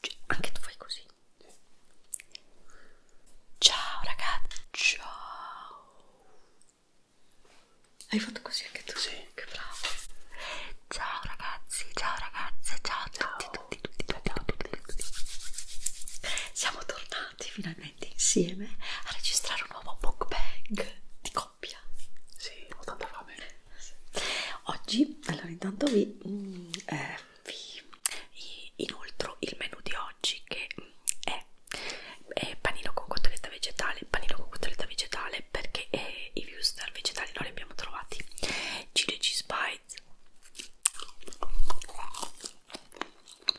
Cioè, anche tu fai così. Ciao ragazzi, ciao. Hai fatto così anche tu? Sì, che bravo. Ciao ragazzi, ciao ragazze, ciao a tutti, tutti, tutti, tutti, tutti, tutti, tutti. Siamo tornati finalmente finalmente insieme a registrare un nuovo mukbang di coppia. Sì, ho tanta fame. Oggi, allora intanto vi, mm, eh, vi inoltre il menù di oggi che mm, è, è panino con cotoletta vegetale, panino con cotoletta vegetale perché eh, i viewster vegetali non li abbiamo trovati. Chili cheese bites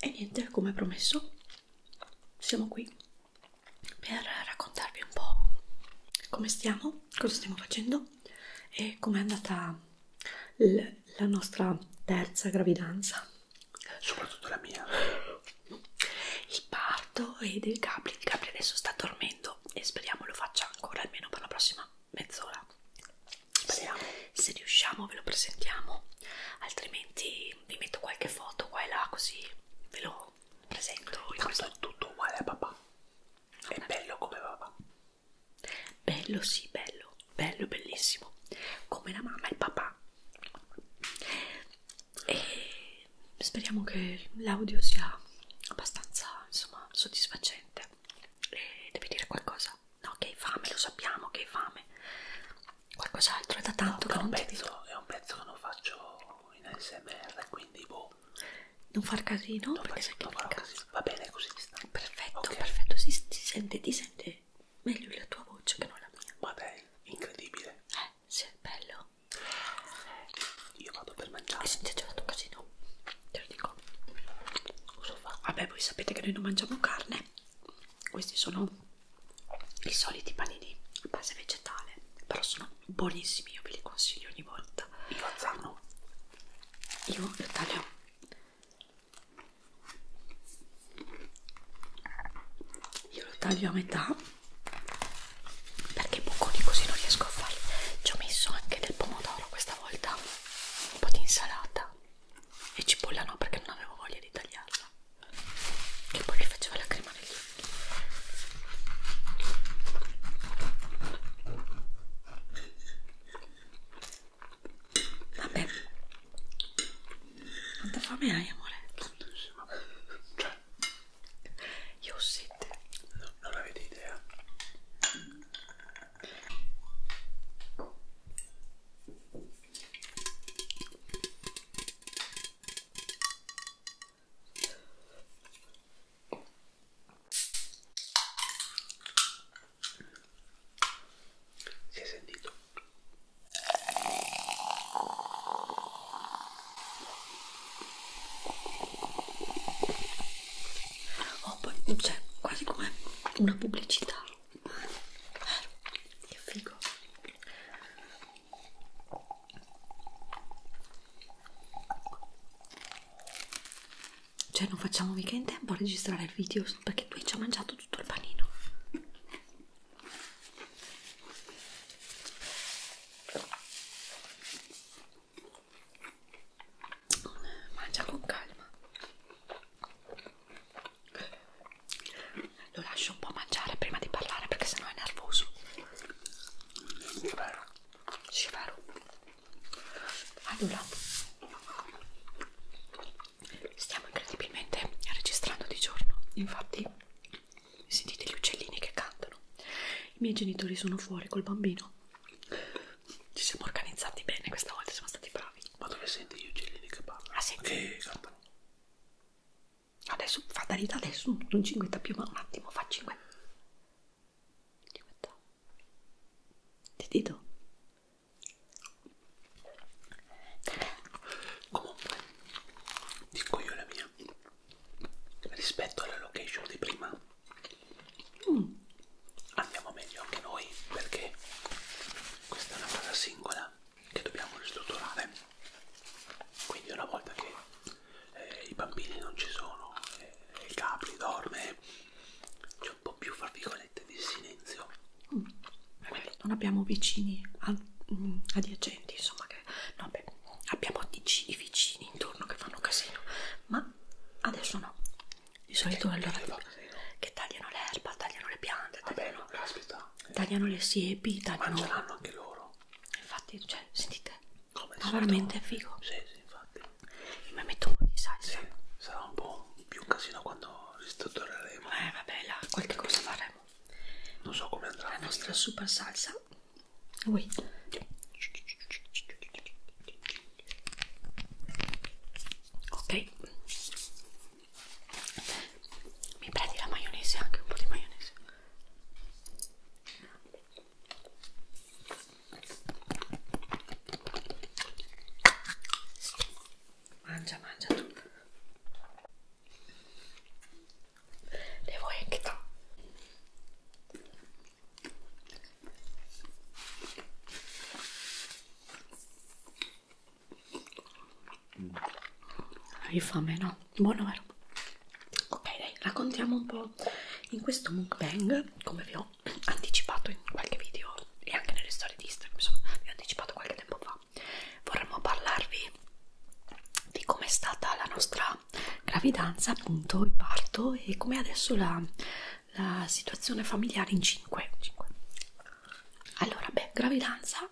e niente come promesso siamo qui per raccontarvi un po' come stiamo cosa stiamo facendo e com'è andata la nostra terza gravidanza soprattutto la mia il parto e del Gabri il Gabri adesso sta dormendo e speriamo lo faccia ancora almeno per la prossima mezz'ora speriamo se riusciamo ve lo presentiamo altrimenti vi metto qualche foto qua e là così ve lo presento in questo è tutto uguale a papà non è bello come papà bello sì bello bello bellissimo come la mamma e il papà e speriamo che l'audio sia abbastanza insomma soddisfacente e devi dire qualcosa no che hai fame lo sappiamo che hai fame qualcos'altro è da tanto no, che non pezzo, ti è un pezzo che non faccio in ASMR quindi boh non far casino non perché sai che non casino. va bene così perfetto okay. perfetto si, si sente ti sente meglio la tua voce che non la mia ma dai incredibile eh sì bello io vado per mangiare e senti già fatto casino te lo dico cosa fa vabbè voi sapete che noi non mangiamo carne questi sono i soliti panini a base vegetale però sono buonissimi io ve li consiglio ogni volta io azzano io li taglio io lo taglio a metà perché bocconi così non riesco a farli ci ho messo anche del pomodoro questa volta un po' di insalata e cipolla no perché non avevo voglia di tagliarla che poi mi faceva la crema negli occhi vabbè quanta fame hai amore? tantissima cioè io ho sette no, non avete idea si è sentito? Oh, poi c'è cioè, quasi come una pubblicità che figo cioè non facciamo mica in tempo a registrare il video perché tu hai già mangiato tutto il panino mangia con calma lo lascio un po' mangiare prima di parlare perché sennò è nervoso. È vero. Sì, è vero. Allora, stiamo incredibilmente registrando di giorno. Infatti, sentite gli uccellini che cantano. I miei genitori sono fuori col bambino ci siamo organizzati bene questa volta, siamo stati bravi. Ma dove senti gli uccellini che parlano? Ah, senti? Che cantano. Adesso, fatalità, adesso non cinguetta più, ma un attimo, fa cinguetta. Cinguetta. Ti dito. Comunque, dico io la mia. Rispetto alla location di prima, mm andiamo meglio anche noi perché questa è una cosa singola che dobbiamo ristrutturare quindi una volta che eh, i bambini non ci sono e eh, il capri dorme c'è un po' più fra virgolette di silenzio mm. quindi non abbiamo vicini ad, mh, mm, adiacenti insomma che no beh abbiamo i vicini intorno che fanno casino ma adesso no di solito allora che tagliano l'erba, tagliano le piante, tagliano, Vabbè, caspita. tagliano le siepi, tagliano... Ma ce l'hanno anche loro. Infatti, cioè, sentite, Come ma veramente è figo. Sì, sì, infatti. Io mi metto un po' di salsa. Sì, sarà un po' più un casino quando ristruttureremo. Eh, vabbè, là, qualche cosa faremo. Non so come andrà. La nostra super salsa. Ui ok mi prendi la maionese anche un po' di maionese mangia mangia tu le vuoi anche tu hai fame, no? Buono, vero? Ok, dai, raccontiamo un po' in questo mukbang, come vi ho anticipato in qualche video e anche nelle storie di Instagram, insomma, vi ho anticipato qualche tempo fa. Vorremmo parlarvi di com'è stata la nostra gravidanza, appunto, il parto e come adesso la la situazione familiare in 5. 5. Allora, beh, gravidanza.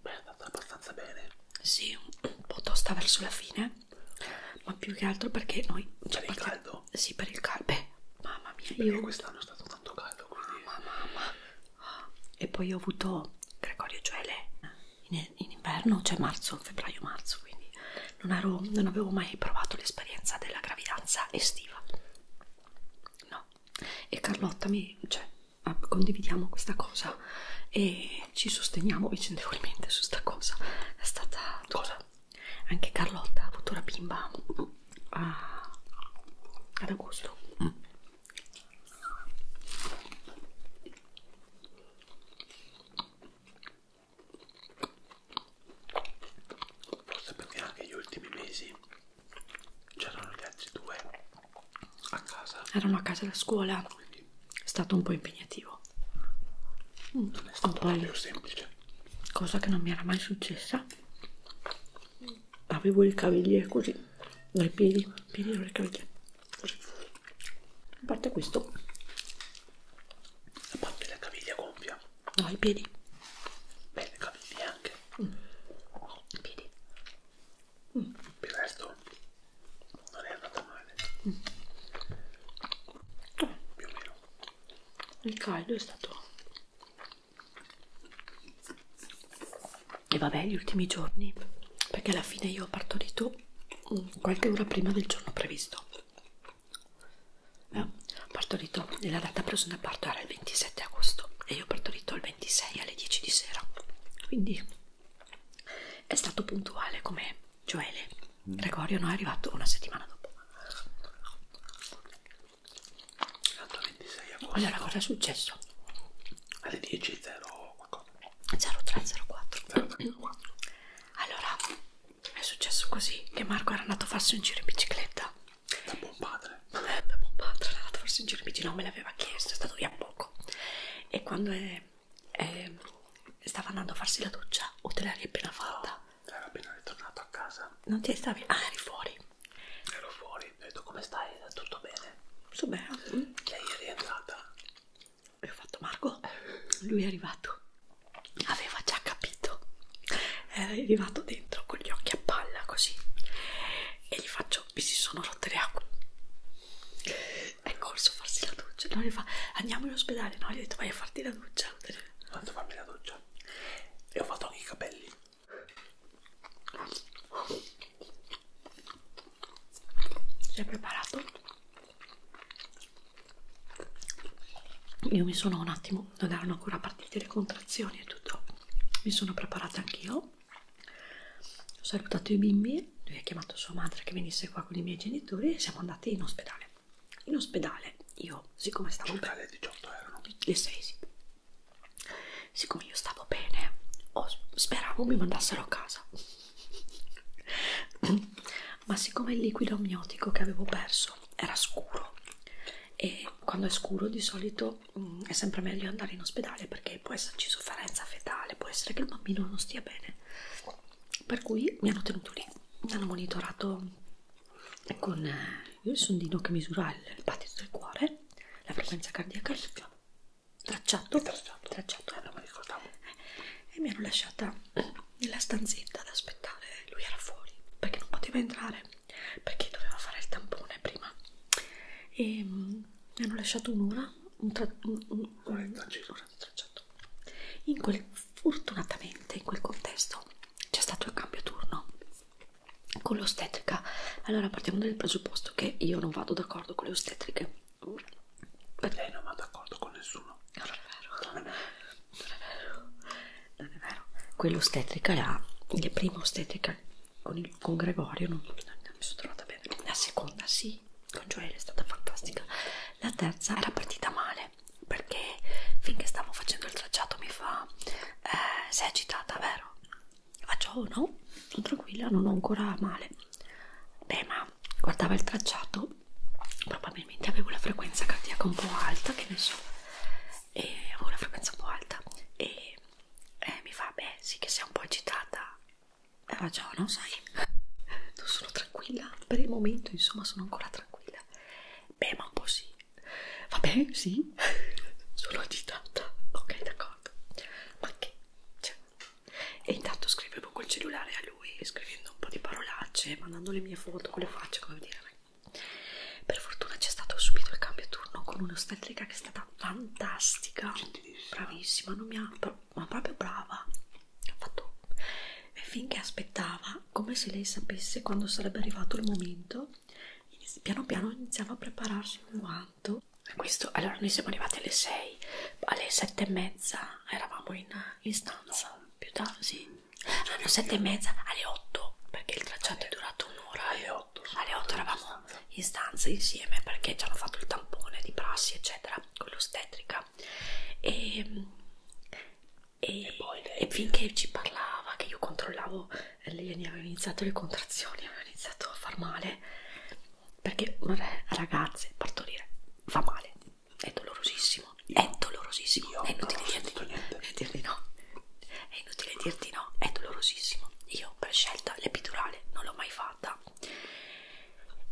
Beh, è andata abbastanza bene. Sì, un po' tosta verso la fine, ma più che altro perché noi... Cioè, per il caldo? Sì, per il caldo. Beh, mamma mia, perché io... quest'anno è stato tanto caldo, quindi... Mamma, mamma. E poi ho avuto Gregorio Gioele in, in inverno, cioè marzo, febbraio-marzo, quindi non, ero, non avevo mai provato l'esperienza della gravidanza estiva no e Carlotta mi cioè ah, condividiamo questa cosa e ci sosteniamo vicendevolmente su sta cosa è stata cosa anche Carlotta ha avuto la bimba mm, a, ad agosto mm forse perché anche gli ultimi mesi c'erano gli altri due a casa erano a casa da scuola Quindi è stato un po' impegnativo non è stato poi, più semplice cosa che non mi era mai successa avevo il cavigliere così dai piedi piedi le caviglie così a parte questo a parte la caviglia gonfia No, i piedi. Bene, capelli anche. Mm. I piedi. Mm. Il resto non è andato male. Mm. Oh. Più o meno. Il caldo è stato... E vabbè, gli ultimi giorni, perché alla fine io ho partorito mm, qualche ora prima del giorno previsto partorito nella data presa da parto era il 27 agosto e io ho partorito il 26 alle 10 di sera quindi è stato puntuale come Gioele mm. Gregorio non è arrivato una settimana dopo Tanto 26 agosto allora cosa è successo? alle 10 0 03 04 allora è successo così che Marco era andato a farsi un giro in bicicletta da buon padre. Eh, da buon padre, tra l'altro forse un girpicino me l'aveva chiesto, è stato via poco. E quando è, è, stava andando a farsi la doccia o te l'hai appena fatta? No, ero appena ritornato a casa. Non ti stavi? Ah, eri fuori. Ero fuori, ho detto come stai? Tutto bene? Tutto bene. Ah, mm. Che ieri è entrata. E ho fatto Marco, lui è arrivato aveva già capito era arrivato dentro con gli occhi a palla così e gli faccio mi si sono rotte le acque è corso a farsi la doccia no gli fa andiamo in ospedale no gli ho detto vai a farti la doccia ho detto fammi la doccia e ho fatto anche i capelli si è preparato io mi sono un attimo diciamo non erano ancora partite le contrazioni e tutto mi sono preparata anch'io ho salutato i bimbi lui ha chiamato sua madre che venisse qua con i miei genitori e siamo andati in ospedale in ospedale io siccome stavo bene 18 erano le 6 sì. siccome io stavo bene oh, speravo mi mandassero a casa ma siccome il liquido amniotico che avevo perso era scuro e quando è scuro di solito mh, mm, è sempre meglio andare in ospedale perché può esserci sofferenza fetale, può essere che il bambino non stia bene. Per cui mi hanno tenuto lì, mi hanno monitorato con eh, il sondino che misura il battito del cuore, la frequenza cardiaca, il tracciato, tracciato, tracciato eh, non mi ricordavo. e mi hanno lasciata nella stanzetta ad aspettare, lui era fuori perché non poteva entrare perché dovevo fare il tampone prima e mm, mi hanno lasciato un'ora un tra, un, un, un, tracciato in quel fortunatamente in quel contesto c'è stato il cambio turno con l'ostetrica allora partiamo dal presupposto che io non vado d'accordo con le ostetriche lei non va d'accordo con nessuno allora è vero non è vero, non è vero. Quello ostetrica là, il primo ostetrica con, il, con Gregorio non, non, non mi sono trovata bene. La seconda sì, con Joelle è stata fantastica. La terza era partita male perché finché stavo facendo il tracciato mi fa eh, sei agitata, vero? Faccio oh no, sono tranquilla, non ho ancora male. Beh, ma guardava il tracciato, probabilmente avevo la frequenza cardiaca un po' alta, che ne so, e ho una frequenza un po' alta e eh, mi fa beh sì che sei un po' agitata hai ragione sai non sono tranquilla per il momento insomma sono ancora tranquilla beh ma un po' sì vabbè sì sono agitata ok d'accordo ma che cioè. e intanto scrivevo col cellulare a lui scrivendo un po' di parolacce mandando le mie foto con le facce come dire per fortuna c'è stato subito il cambio turno con un'ostetrica che è stata fantastica, bravissima, non mi ha, ma proprio brava. Ha fatto finché aspettava, come se lei sapesse quando sarebbe arrivato il momento, piano piano iniziava a prepararsi un guanto. Questo, allora noi siamo arrivati alle 6, alle 7 e mezza eravamo in, in stanza, più tardi, sì, alle sette e mezza, alle 8 perché il tracciato alle, è durato un'ora alle 8, alle 8 eravamo in stanza insieme perché ci hanno fatto il tampone di prassi eccetera con l'ostetrica e, e, e, poi lei, e finché ci parlava che io controllavo eh, lei aveva iniziato le contrazioni aveva iniziato a far male perché vabbè ragazze partorire fa male è dolorosissimo io, è dolorosissimo io è inutile dirti, dirti no è inutile dirti no, è dolorosissimo. Io per scelta l'epidurale non l'ho mai fatta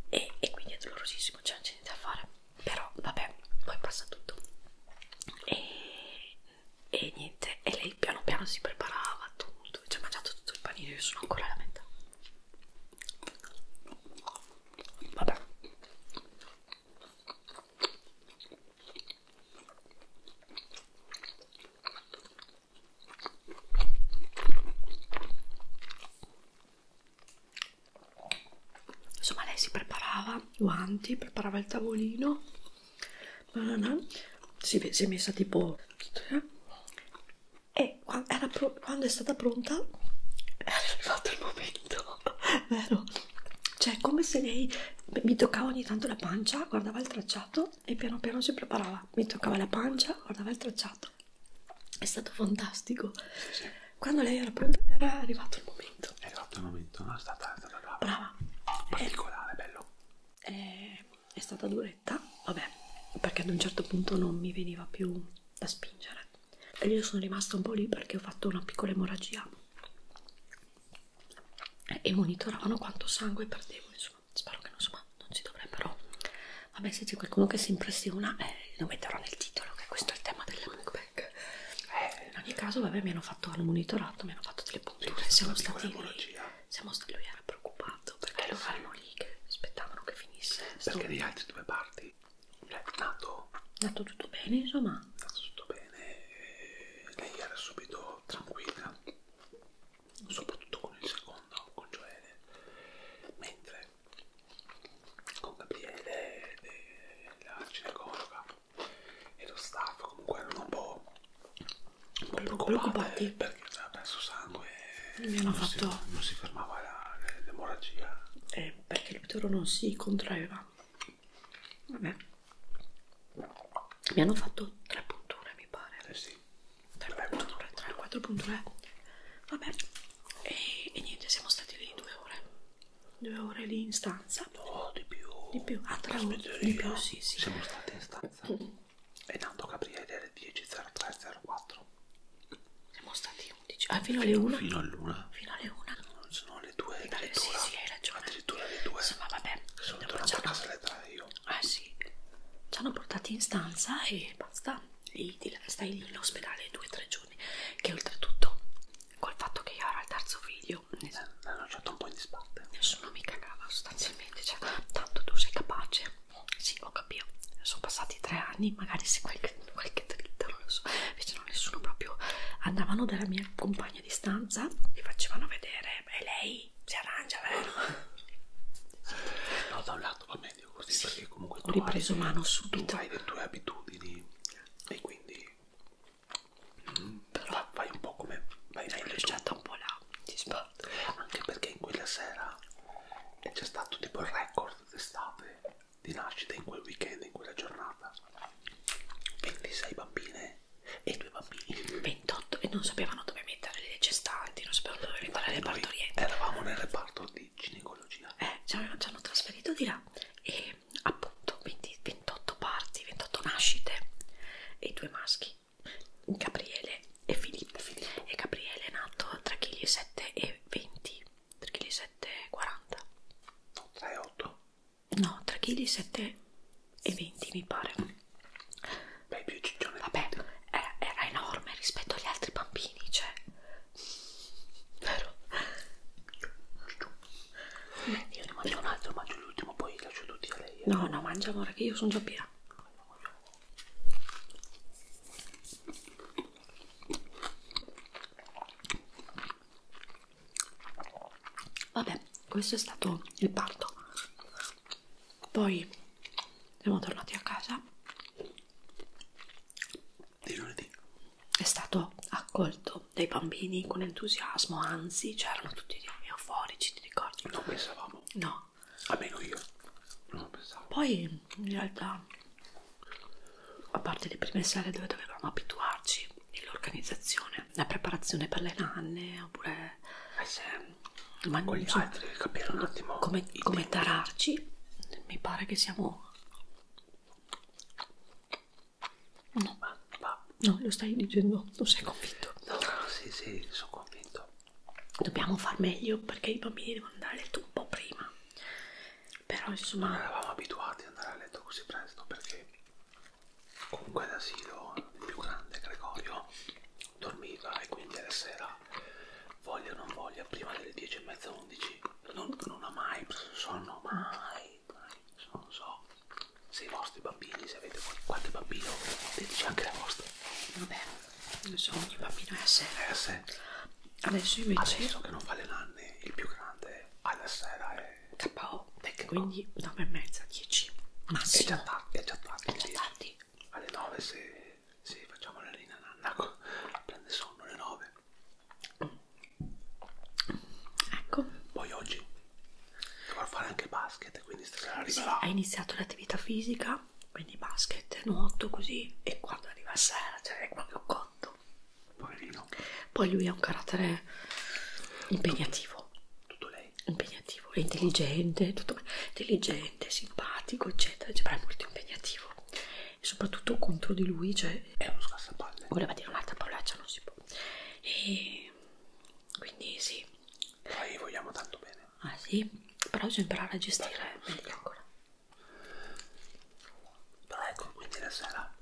e, e quindi è dolorosissimo, cioè non c'è niente da fare. Però vabbè, poi passa tutto. E, e niente, e lei piano piano si preparava tutto, ci ha mangiato tutto il panino, io sono ancora alla metà. Vabbè. Insomma, lei si preparava guanti, preparava il tavolino. Si, si è messa tipo. E quando, era pro, quando è stata pronta, era arrivato il momento, vero? cioè come se lei mi toccava ogni tanto la pancia, guardava il tracciato e piano piano si preparava, mi toccava la pancia, guardava il tracciato, è stato fantastico. Sì, sì. Quando lei era pronta era arrivato il momento. È arrivato il momento, no? È stata, è stata brava. brava. Eh, particolare, è, bello. È, è stata duretta, vabbè, perché ad un certo punto non mi veniva più da spingere. E io sono rimasta un po' lì perché ho fatto una piccola emorragia e monitoravano quanto sangue perdevo insomma spero che non, insomma, non ci dovrebbero vabbè se c'è qualcuno che si impressiona eh, lo metterò nel titolo che questo è il tema del mukbang eh, in ogni caso vabbè mi hanno fatto hanno monitorato mi hanno fatto delle punture sì, siamo stati lì, siamo stati lui era preoccupato perché eh, loro sì. erano lì che aspettavano che finisse perché sto... gli altri due parti cioè, è nato nato tutto bene insomma nato tutto bene bene, eh, lei era subito tranquilla, soprattutto con il secondo, con Joele, mentre con Gabriele, eh, la ginecologa e lo staff comunque erano un po', un po preoccupati, preoccupati perché aveva eh, perso sangue e non, fatto... si, non si fermava l'emorragia. Eh, perché il utero non si contraeva. Vabbè. Mi hanno fatto tre punture, mi pare. Eh sì. Tre Beh, punture, tre, quattro punture. Vabbè. E, e niente, siamo stati lì due ore. Due ore lì in stanza. No, di più. Di più. Ah, tre ore. Di più, sì, sì. Siamo stati in stanza. Mm. E tanto Gabriele alle 10.03.04. Siamo stati 11. Ah, fino alle 1? Fino all'una. Fino alle 1. No, no, le due addirittura, sì, sì, hai ragione. addirittura le due sì, ma vabbè, sono tornato a casa alle tre io ah sì, ci hanno portati in stanza e basta lì, stai lì in ospedale due o tre giorni che oltretutto col fatto che io ero al terzo video eh, mi hanno lasciato un po' in disparte nessuno mi cagava sostanzialmente cioè, tanto tu sei capace sì, ho capito, sono passati tre anni magari se qualche, qualche dritta non lo so invece no, nessuno proprio andavano dalla mia compagna mia distanza, li facevano vedere e lei si arrangia, vero? No, da un lato va meglio così sì, perché comunque ho ripreso hai, mano subito. Tu hai le tue abitudini e quindi mm, Però vai un po' come vai meglio. L'ho lasciata un po' là, ti sbatto. Anche perché in quella sera eh, c'è stato tipo il record d'estate di nascita in quel weekend, in quella giornata. 26 bambine e due bambini 28 e non sapevano dove mettere le gestanti, non sapevano dove mettere le partorienti. Eravamo nel reparto di ginecologia. Eh, ci hanno, ci hanno trasferito di là e appunto 20, 28 parti, 28 nascite e due maschi, Gabriele e Filippo. Filippo. E Gabriele è nato tra kg 7 e 20, 3,7 kg 7 e 40. No, 3,8 no 3 kg 7 e 20 mi pare beh più ciccione vabbè era, era enorme rispetto agli altri bambini cioè vero io ne mangio un altro mangio l'ultimo poi lascio tutti a lei eh. no no mangia amore che io sono già piena Vabbè, questo è stato il parto. Poi siamo tornati a casa. Di lunedì. È stato accolto dai bambini con entusiasmo, anzi, c'erano tutti euforici, ti ricordi? Non pensavamo. No. Almeno io. Non pensavo. Poi in realtà, a parte le prime sere dove dovevamo abituarci nell'organizzazione, la preparazione per le nanne oppure eh sì, ehm, ma con gli altri capire un attimo come, come tararci mi pare che siamo no ma, ma... no lo stai dicendo non sei convinto no no sì sì sono convinto dobbiamo far meglio perché i bambini devono andare a letto un po' prima però insomma non eravamo abituati ad andare a letto così presto perché comunque d'asilo il più grande Gregorio dormiva e quindi alla sera voglia o non voglia prima delle 10 e mezza 11 non, non ha mai preso sonno mai, mai non so se i vostri bambini se avete qualche bambino diteci anche la vostra vabbè non so ogni bambino è a sé è a sé adesso invece adesso che non fa le nanne il più grande alla sera è KO perché quindi 9 e mezza 10 massimo è già tardi è già tardi, è già tardi. alle 9 se, se facciamo la linea nanna prende sonno alle 9 ecco poi oggi dovrò fare anche basket quindi stasera arriva sì, là hai iniziato l'attività fisica quindi basket nuoto così e quando arriva sera c'è cioè proprio cotto Poverino. Poi lui ha un carattere impegnativo. Tutto, tutto lei. Impegnativo, è intelligente, tutto, intelligente, simpatico, eccetera, cioè, però è molto impegnativo. E soprattutto contro di lui, cioè... È uno scassapalle. Voleva dire un'altra parolaccia, non si può. E... Quindi sì. Noi vogliamo tanto bene. Ah sì? Però bisogna imparare a gestire meglio sì. Ecco. ancora. Però ecco, quindi la sera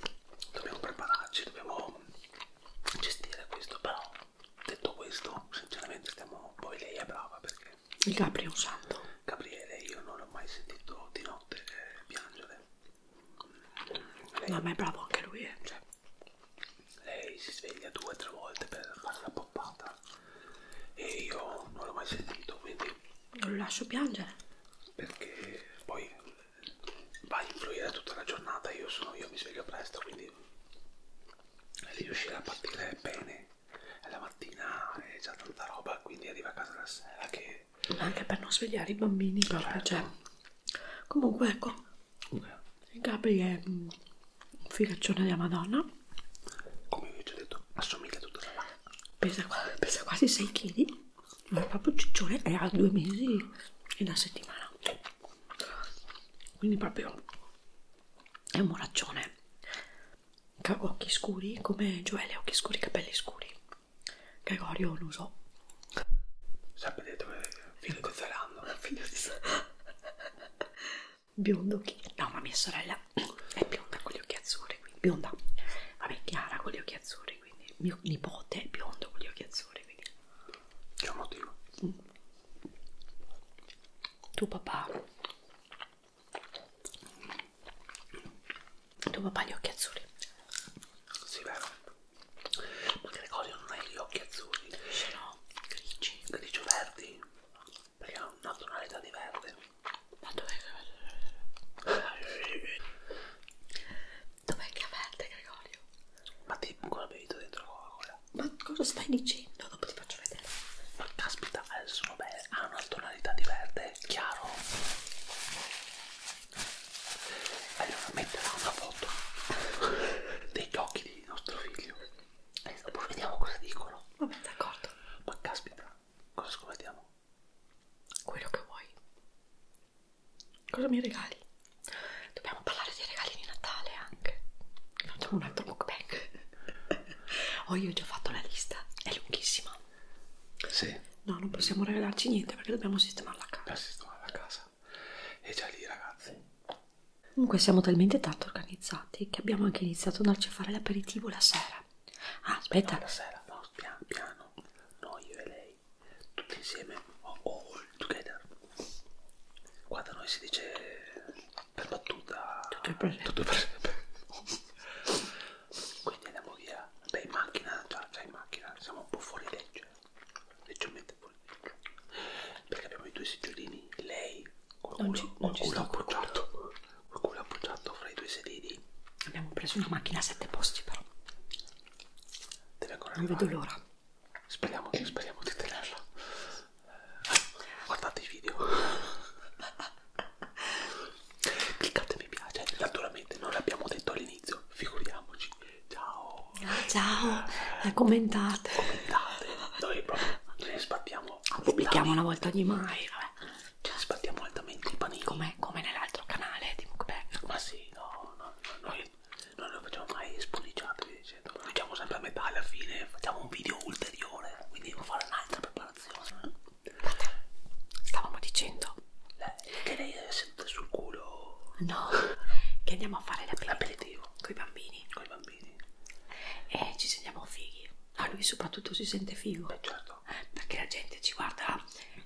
dobbiamo prepararci, dobbiamo gestire questo, però detto questo, sinceramente stiamo... poi lei è brava perché... Il Capri è un santo. Gabriele, io non l'ho mai sentito di notte eh, piangere. Lei... No, ma è bravo anche lui, eh. Cioè, lei si sveglia due o tre volte per fare la poppata e io non l'ho mai sentito, quindi... Non lo lascio piangere. Perché poi va a influire tutta la giornata. Io sono io, mi sveglio presto, quindi riuscire a partire bene la mattina è già tanta roba, quindi arriva a casa la sera che... Anche per non svegliare i bambini, però, certo. cioè... Comunque, ecco, okay. Gabri è un figaccione della Madonna. Come vi ho già detto, assomiglia tutto alla... Pesa, pesa quasi 6 kg ma il proprio ciccione è a due mesi e una settimana quindi proprio è un moraccione che ha occhi scuri come Gioele occhi scuri capelli scuri Gregorio non so sapete dove figlio di Zalando figlio di Zalando biondo chi? no ma mia sorella è bionda con gli occhi azzurri quindi bionda vabbè Chiara con gli occhi azzurri quindi mio nipote è biondo con gli occhi azzurri professore, quindi... C'è un motivo. Mm. Tuo papà... Tuo papà ha gli occhi azzurri. Sì, vero. Ma Gregorio non ha gli occhi azzurri. Ce l'ho, grigi. Grigio verdi? Perché ha una tonalità di verde. Ma dov'è che... Dov'è che avverte, Gregorio? Ma ti ancora bevuto dentro la Coca-Cola? Ma cosa stai dicendo? Dopo ti faccio vedere. Ma caspita, adesso eh, sono belle. Ha una tonalità di verde, chiaro. Allora metterò una foto degli occhi di nostro figlio. E dopo vediamo cosa dicono. Vabbè, d'accordo. Ma caspita, cosa scommettiamo? Quello che vuoi. Cosa mi regali? Dobbiamo parlare di regali di Natale anche. Facciamo un altro mukbang. oh, io ho già fatto la lista, è lunghissima. Sì. No, non possiamo regalarci niente perché dobbiamo sistemare la casa. Per sistemare la casa. E già lì, ragazzi. Comunque siamo talmente tanto organizzati che abbiamo anche iniziato a andarci a fare l'aperitivo la sera. Ah, aspetta. No, la sera, no, piano, piano. No, io e lei tutti insieme o all together qua da noi si dice per battuta tutto il progetto quindi andiamo via beh in macchina già, già in macchina siamo un po' fuori legge leggermente fuori legge perché abbiamo i due seggiolini lei con culo, culo appoggiato col culo appoggiato fra i due sedili abbiamo preso una macchina a sette posti però Deve ancora non arrivare. vedo l'ora. Speriamo, speriamo di tenerla. Eh, guardate i video. Cliccate mi piace. Naturalmente non l'abbiamo detto all'inizio, figuriamoci. Ciao. Ciao. Eh, commentate. Commentate. Noi proprio ne sbattiamo. Pubblichiamo una volta ogni mai. Vabbè. Cioè, sbattiamo altamente i panini. Come, come nell'altro canale di Mukbang. Ma sì, no, no, no, noi, noi non facciamo mai spolliciate, lo facciamo sempre a metà alla fine, facciamo un video ulteriore, quindi devo fare un'altra preparazione. Stavamo dicendo lei, eh, che lei è seduta sul culo. No, che andiamo a fare l'aperitivo con i bambini. Con i bambini. E ci sentiamo fighi. A lui soprattutto si sente figo. Beh, certo. Perché la gente ci guarda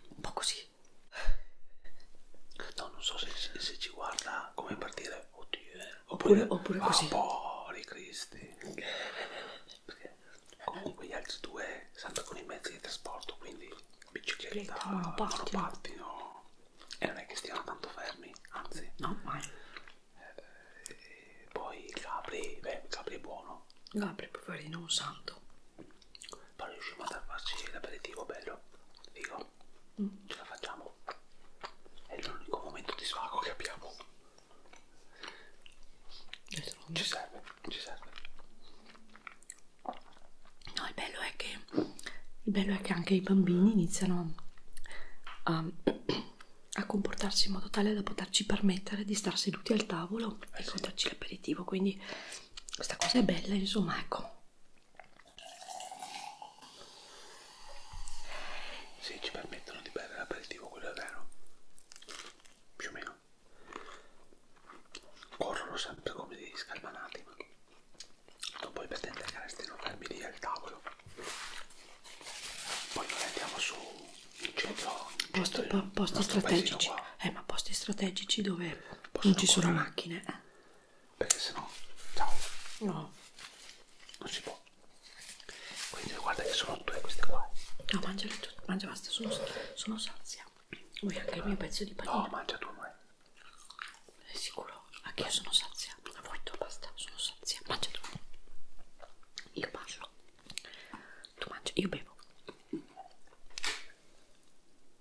un po' così No, non so se, se ci guarda come partire, oddio, eh. oppure, oppure ah, così. Poveri cristi. Perché comunque gli altri due salta con i mezzi di trasporto, quindi bicicletta, monopattino. E non è che stiano tanto fermi, anzi. No, mai. Eh, poi Capri, beh, Capri è buono. Capri, poverino, un santo poi riusciamo a farci l'aperitivo bello, figo, mm. ce la facciamo, è l'unico momento di svago che abbiamo, ci serve, ci serve. No, il bello è che, il bello è che anche i bambini iniziano a, a comportarsi in modo tale da poterci permettere di star seduti al tavolo eh e sì. goderci l'aperitivo, quindi questa cosa è bella insomma ecco se ci permettono di bere l'aperitivo quello è vero più o meno corrono sempre come dei scalmanati ma non puoi pretendere che restino fermi lì al tavolo poi noi andiamo su in centro, in centro posti, po posti strategici eh ma posti strategici dove Posso non ci sono macchine. Eh. Perché sennò, ciao. No. Non si può. Quindi guarda che sono due queste qua. No, mangiale tu, mangia basta, sono, sono sazia. Vuoi anche il mio pezzo di panino? No, mangia tu, noi. Sei sicuro? Anche io sono sazia. Vuoi tu, basta, sono sazia. Mangia tu. Io parlo. Tu mangi, io bevo.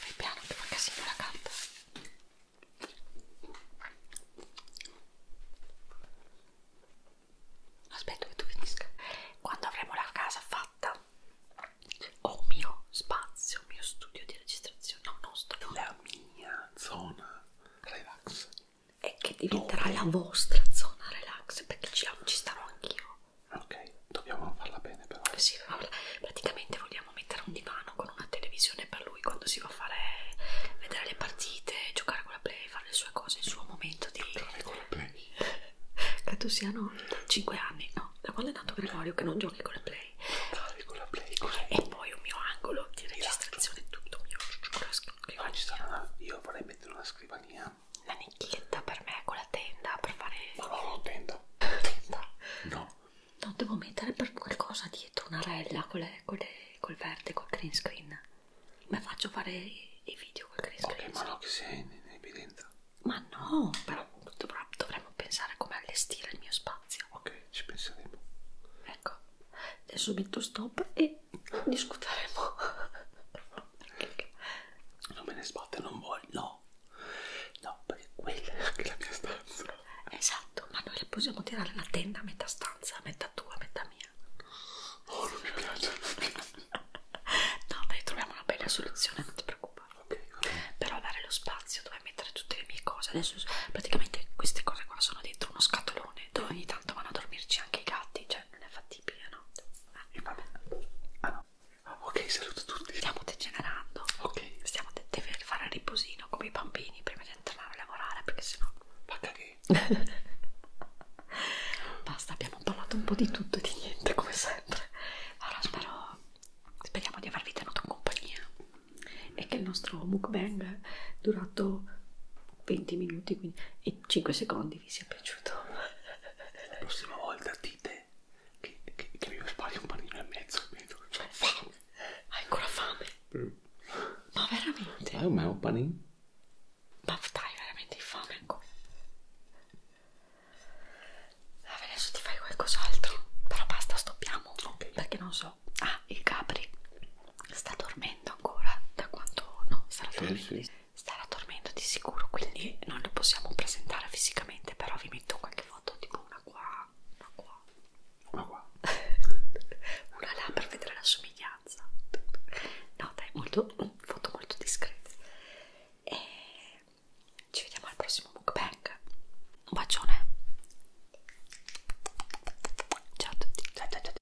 Fai piano che fa casino la carta. Aspetto che tu finisca. Quando avremo la casa fatta, ho un mio spazio, un mio studio di registrazione. No, non studio. La mia zona relax. E che diventerà Dove? la vostra zona relax perché ci, ci starò anch'io. Ok, dobbiamo farla bene però. Sì, praticamente vogliamo mettere un divano con una televisione per lui quando si va a fare vedere le partite, giocare con la play, fare le sue cose, il suo momento di... Giocare con la play? Credo siano 5 anni, no? Da quando è nato Gregorio che non giochi con la play? Giocavi con la play? Cos'è? E poi un mio angolo di esatto. registrazione, tutto mio. Con la scrivania. Ah, io vorrei mettere una scrivania. La nicchietta per me con con la tenda per fare... Ma no, no, tenda. tenda. No. No, devo mettere per qualcosa dietro, una rella con le, con le, col verde, col green screen. Ma faccio fare i video col green screen. Ok, ma no, che sei in, in evidenza. Ma no, però dovrà, dovremmo pensare come allestire il mio spazio. Ok, ci penseremo. Ecco, adesso metto stop e discuteremo. non me ne sbatte, non voglio. No, no, no, perché quella è anche la mia stanza. Esatto, ma noi le possiamo tirare la tenda a metà stanza, metà tua, metà mia. Oh, non mi piace. no, dai, troviamo una bella soluzione, non ti preoccupare. Okay, okay. Però dare lo spazio dove mettere tutte le mie cose. Adesso praticamente queste cose qua sono dentro uno scatolone dove ogni tanto vanno a dormirci anche i gatti, cioè non è fattibile, no? Ah, va bene. Ah no. Ok, saluto tutti. Stiamo degenerando. Ok. Stiamo de deve fare riposino come i bambini prima di entrare a lavorare perché sennò. Ma che? Basta, abbiamo parlato un po' di tutto e di niente come sempre. Allora spero. Speriamo di avervi tenuto in compagnia e che il nostro mukbang durato 20 minuti quindi, e 5 secondi vi sia piaciuto. La prossima volta dite che, che, che mi spari un panino e mezzo, capito? Cioè, eh, fame! Hai ancora fame? Mm. Ma veramente? Ma è un panino? Ma dai, veramente hai fame ancora? Vabbè, adesso ti fai qualcos'altro, però basta, stoppiamo, okay. perché non so. Ah, il Gabri sta dormendo ancora, da quanto... no, starà dormendo. Sì, sì. Starà dormendo di sicuro, quindi non lo possiamo presentare fisicamente, però vi metto qualche foto tipo una qua, una qua, una qua, una là per vedere la somiglianza. No, dai, molto, foto molto discrete. E ci vediamo al prossimo mukbang. Un bacione. Ciao a tutti. Ciao, ciao, ciao.